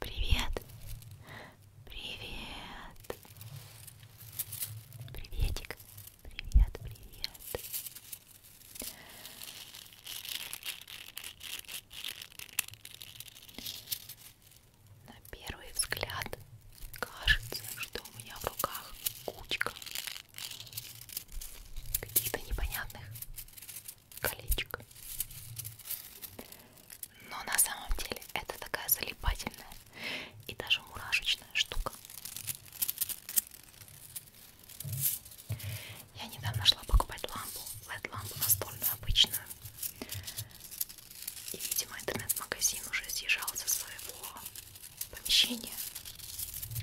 Привет. Привет. Приветик. Привет, привет. На первый взгляд кажется, что у меня в руках кучка каких-то непонятных колечко. Но на самом деле это такая залипательная и даже мурашечная штука. Я недавно шла покупать лампу, LED-лампу настольную обычную. И, видимо, интернет-магазин уже съезжал со своего помещения.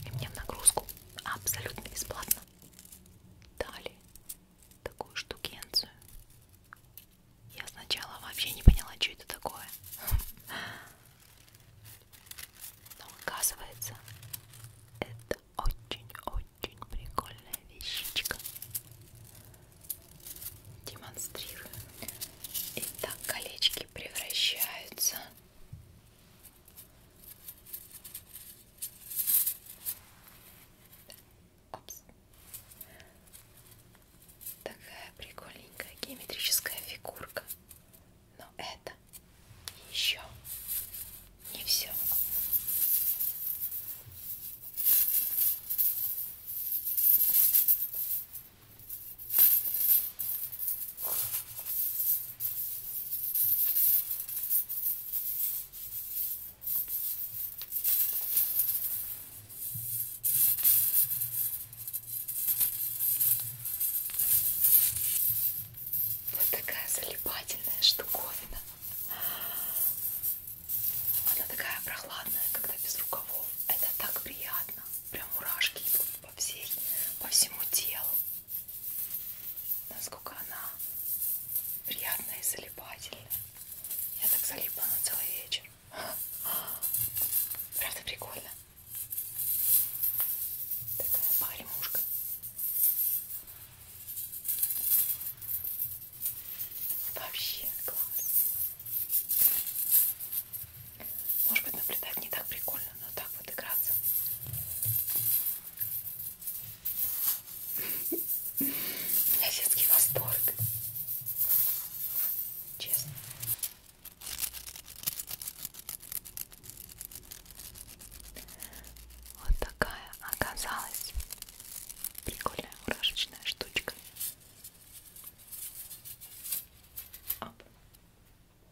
И мне в нагрузку абсолютно бесплатно дали такую штукенцию. Я сначала вообще не поняла, что это такое. Но оказывается, это очень-очень прикольная вещичка. Демонстрирую. Итак, колечки превращаются Опс. Такая прикольненькая геометрическая фигурка. Но это еще не все. Вот такая залипательная штуковина. Она такая прохладная, когда без рукавов. Это так приятно. Прям мурашки идут по, всей, по всему телу насколько она приятная и залипательная. Я так залипла на целый вечер. Правда прикольно. Такая погремушка. Вообще класс. Может быть наблюдать не так прикольно, но так вот играться. У меня детский восторг. Честно. Вот такая оказалась прикольная мурашечная штучка. Оп.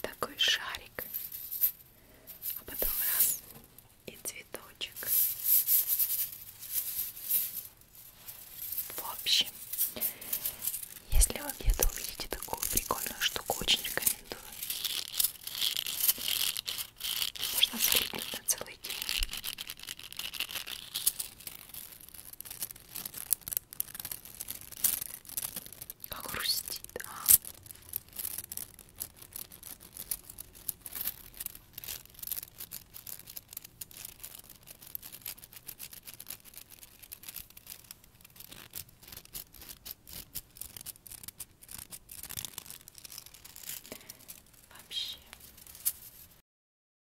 Такой шарик, а потом раз и цветочек. В общем, если вы где-то увидите такую прикольную штуку, очень рекомендую. Можно залипнуть на целый день. Как грустит, а? Вообще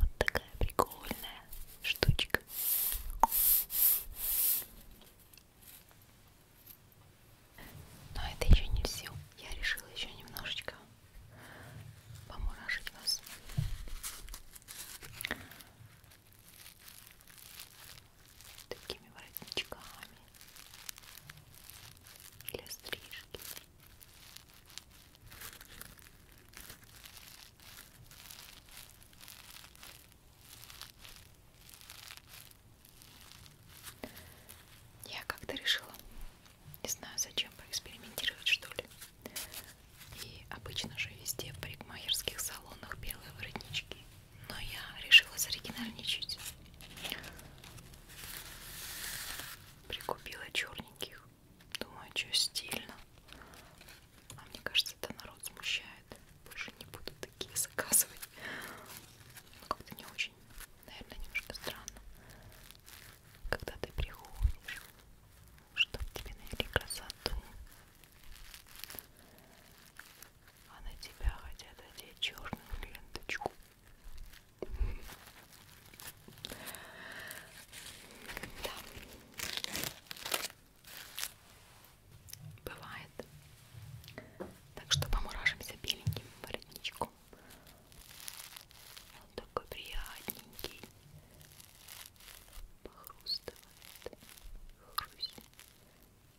Вот такая прикольная штучка. Но это еще не все. Я решила еще немножечко помуражить вас. Такими воротничками для стрижки. Я как-то решила, не знаю, зачем поэкспериментировать, что ли. И обычно же везде в парикмахерских салонах белые воротнички. Но я решила заоригинальничать. Прикупила черненьких. Думаю, что стильно. А мне кажется, это народ смущает. Больше не буду такие заказывать. Но ну, как-то не очень, наверное, немножко странно. Когда ты приходишь, чтобы тебе навели красоту, а на тебя хотят одеть черную ленточку. Да. Бывает. Так что помуражимся беленьким воротничком. Он такой приятненький. Похрустывает. Хрусь. Хрусь.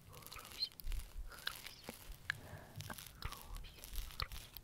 Хрусь. Хрусь. Хрусь.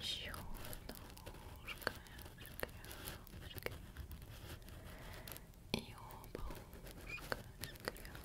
Еще одно ушко, ушко, ушко. И оба ушка, шкряб, шкряб.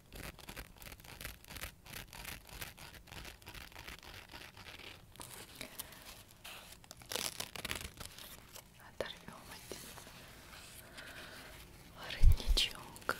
Оторвем один воротничок.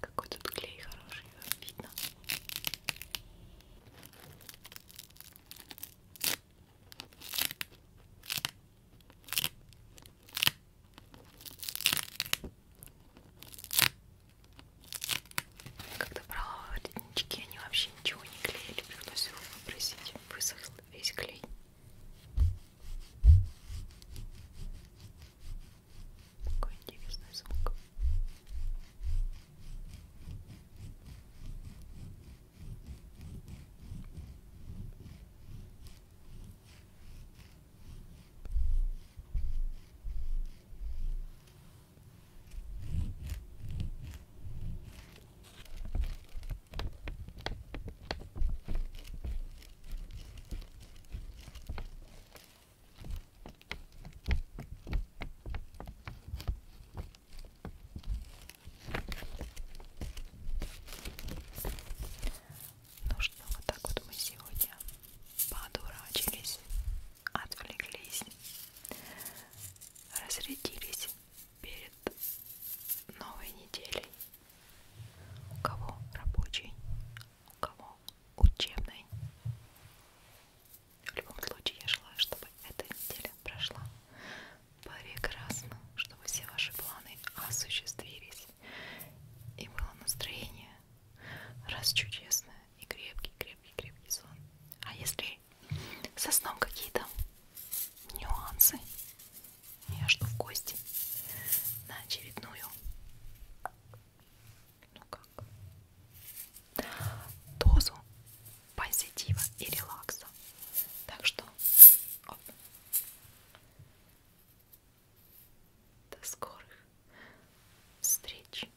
Какой тут клей хороший, видно. Когда брала роднички, они вообще ничего не клеили, пришлось его выбросить, высохло весь клей. Какой интересный звук. Ну что, вот так вот мы сегодня подурачились, отвлеклись, разрядились перед новой неделей. У кого рабочий, у кого учебный. В любом случае, я желаю, чтобы эта неделя прошла прекрасно, чтобы все ваши планы осуществились. И было настроение раз чудесное и крепкий, крепкий, крепкий сон. А если со сном какие-то нюансы. Я жду в гости на очередную. Ну как? Дозу позитива и релакса. Так что оп. до скорых встреч.